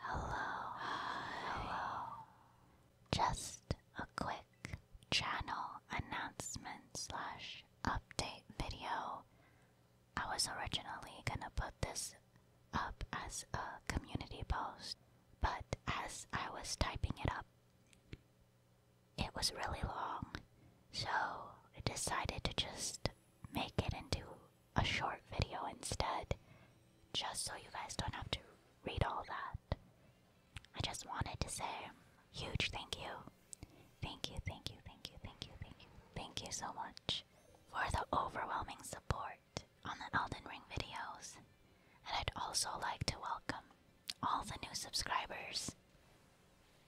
Hello, hello. Just a quick channel announcement slash update video. I was originally gonna put this up as a community post, but as I was typing it up, it was really long, so I decided to just make it into a short video instead, just so you guys don't have to read all that. I just wanted to say huge thank you. Thank you, thank you, thank you, thank you, thank you, thank you so much for the overwhelming support on the Elden Ring videos. And I'd also like to welcome all the new subscribers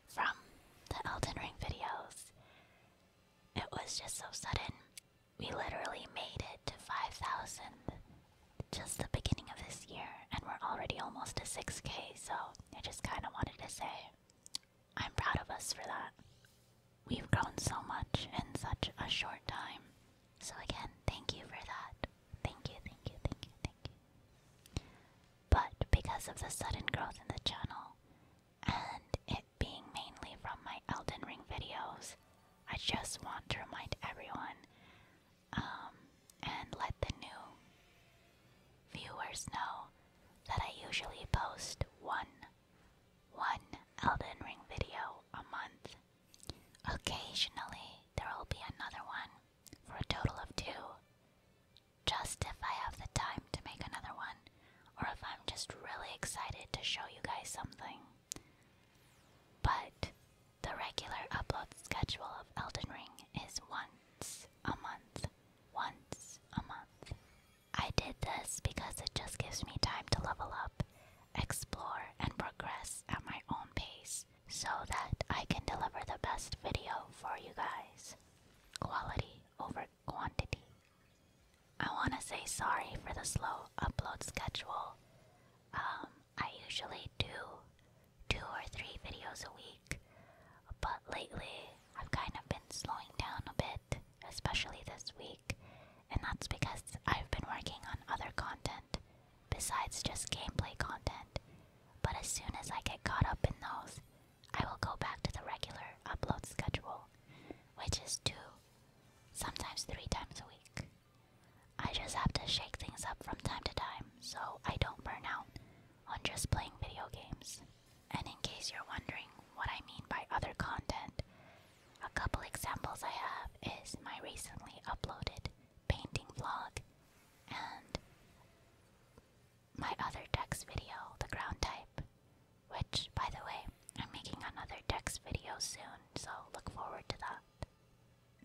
from the Elden Ring videos. It was just so sudden we literally made it to 5,000 just the beginning of this year, and we're already almost to 6k, so I just kind of wanted to say I'm proud of us for that. We've grown so much in such a short time. So, again, thank you for that. Thank you, thank you, thank you, thank you. But because of the sudden growth in the channel, and it being mainly from my Elden Ring videos, I just want to remind everyone um, and let the new viewers know that I usually post one, one Elden Ring video a month. Occasionally, there will be another one for a total of two, just if I have the time to make another one or if I'm just really excited to show you guys something. But the regular upload schedule of Elden Ring is once a month. Once a month. I did this because it just gives me time to level up, explore, and progress at my own pace so that I can deliver the best video for you guys. Quality over quantity. I want to say sorry for the slow upload schedule. Um, I usually do two or three videos a week, but lately I've kind of been slowing down a bit, especially this week, and that's because I've been working on other content besides just gameplay content. But as soon as I get caught up in those, I will go back to the regular upload schedule, which is two, sometimes three times a week. I just have to shake things up from time to time so I don't burn out on just playing video games. And in case you're wondering what I mean by other content, a couple examples I have is my recently uploaded painting vlog and my other Dex video, the ground type, which, by the way, I'm making another Dex video soon, so look forward to that.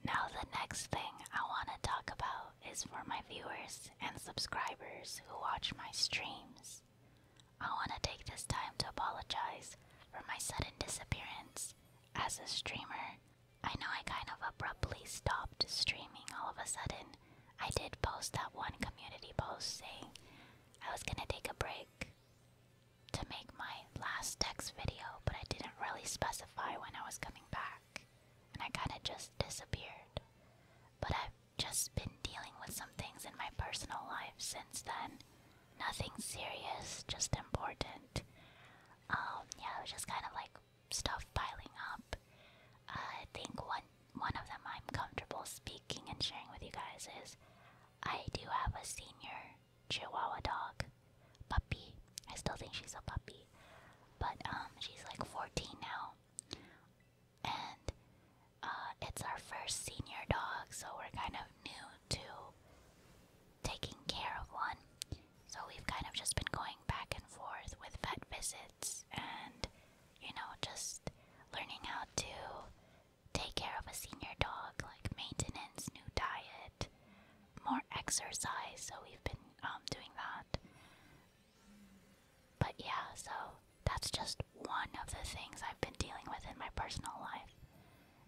Now, the next thing I want to talk about is for my viewers and subscribers who watch my streams. I want to take this time to apologize for my sudden disappearance as a streamer. I know I kind of abruptly stopped streaming all of a sudden, I did post that one community post saying I was gonna take a break to make my last text video, but I didn't really specify when I was coming back, and I kinda just disappeared. But I've just been dealing with some things in my personal life since then. Nothing serious, just important. Um, yeah, it was just kind of like stuff piling up. Uh, I think one one of them I'm comfortable speaking and sharing with you guys is I do have a senior Chihuahua dog, puppy. I still think she's a puppy, but um, she's like 14 now, and uh, it's our first senior dog, so we're kind of new to taking care of one. So we've kind of just been going back and forth with vet visits and, you know, just learning how to take care of a senior dog, like maintenance, new diet, more exercise. So we've been um, doing that. But yeah, so that's just one of the things I've been dealing with in my personal life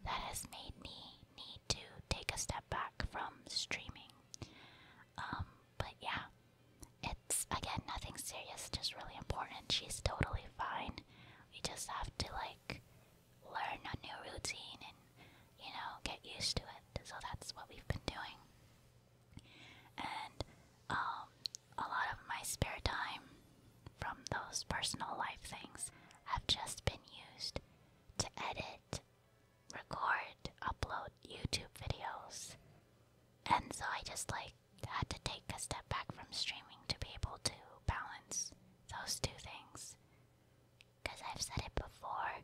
that has made me need to take a step back from streaming. Um, but yeah, it's again nothing serious, just really important. She's totally fine. We just have to like learn a new routine and you know get used to it. So that's what we've been doing. And um, a lot of my spare time from those personal life things have just been used to edit record, upload YouTube videos. And so I just like had to take a step back from streaming to be able to balance those two things. Because I've said it before,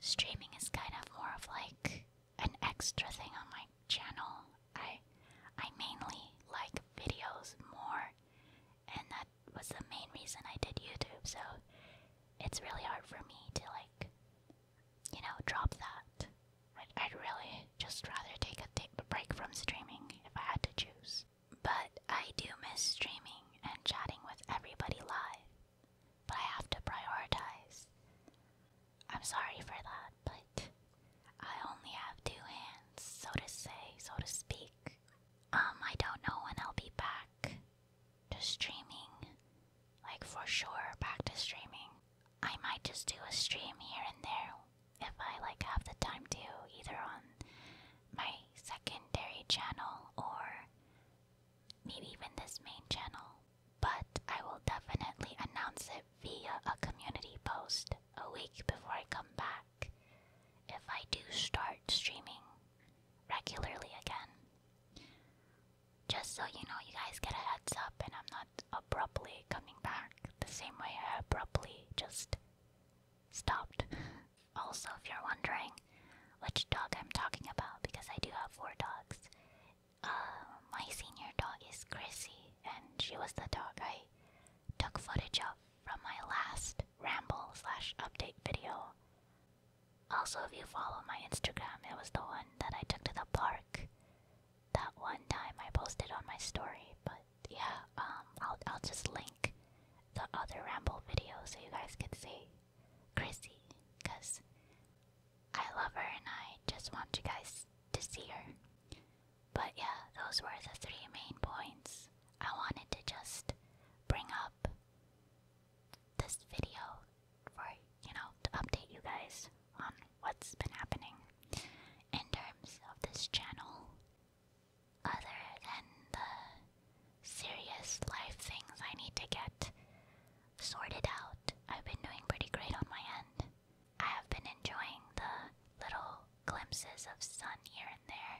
streaming is kind of more of like an extra thing on my channel. I I mainly like videos more, and that was the main reason I did YouTube. So it's really hard for me to like you know, drop that. I'd, really just rather take a, take a break from streaming if I had to choose. But I do miss streaming and chatting with everybody live. But I have to prioritize. I'm sorry for that, but I only have two hands, so to say, so to speak. Um, I don't know when I'll be back to streaming. Like for sure back to streaming. I might just do a stream here and there if I like have the time to either on my secondary channel or maybe even this main channel. But I will definitely announce it via a community post a week before I come back if I do start streaming regularly again. Just so you know, you guys get a heads up, and I'm not abruptly coming back the same way I abruptly just stopped. Also, if you're wondering which dog I'm talking about, because I do have four dogs, uh, my senior dog is Chrissy, and she was the dog I took footage of from my last ramble slash update video also, if you follow my Instagram, it was the one that I took to the park. That one time I posted on my story, but yeah, um, I'll I'll just link the other ramble video so you guys can see Chrissy, cause I love her and I just want you guys to see her. But yeah, those were the three main points I wanted to just bring up this video for, you know, to update you guys on what's been happening in terms of this channel. Other than the serious life things I need to get sorted out, I've been doing pretty great on my end. I have been enjoying the little glimpses of sun here and there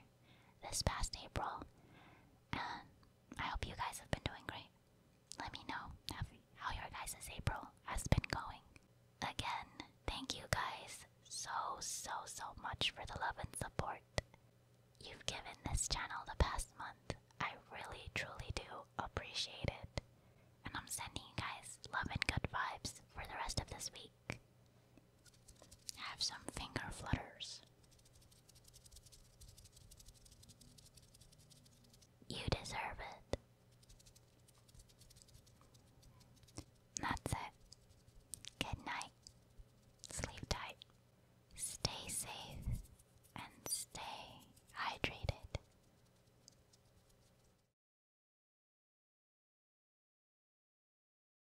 this past April, and I hope you guys have been doing great. Let me know how, your guys' this April has been going. Again, thank you guys so, so, so much for the love and support you've given this channel the past month. I really, truly do appreciate it. And I'm sending you guys love and good vibes for the rest of this week. Have some finger flutters. You deserve it. That's it. Good night. Sleep tight. Stay safe and stay hydrated.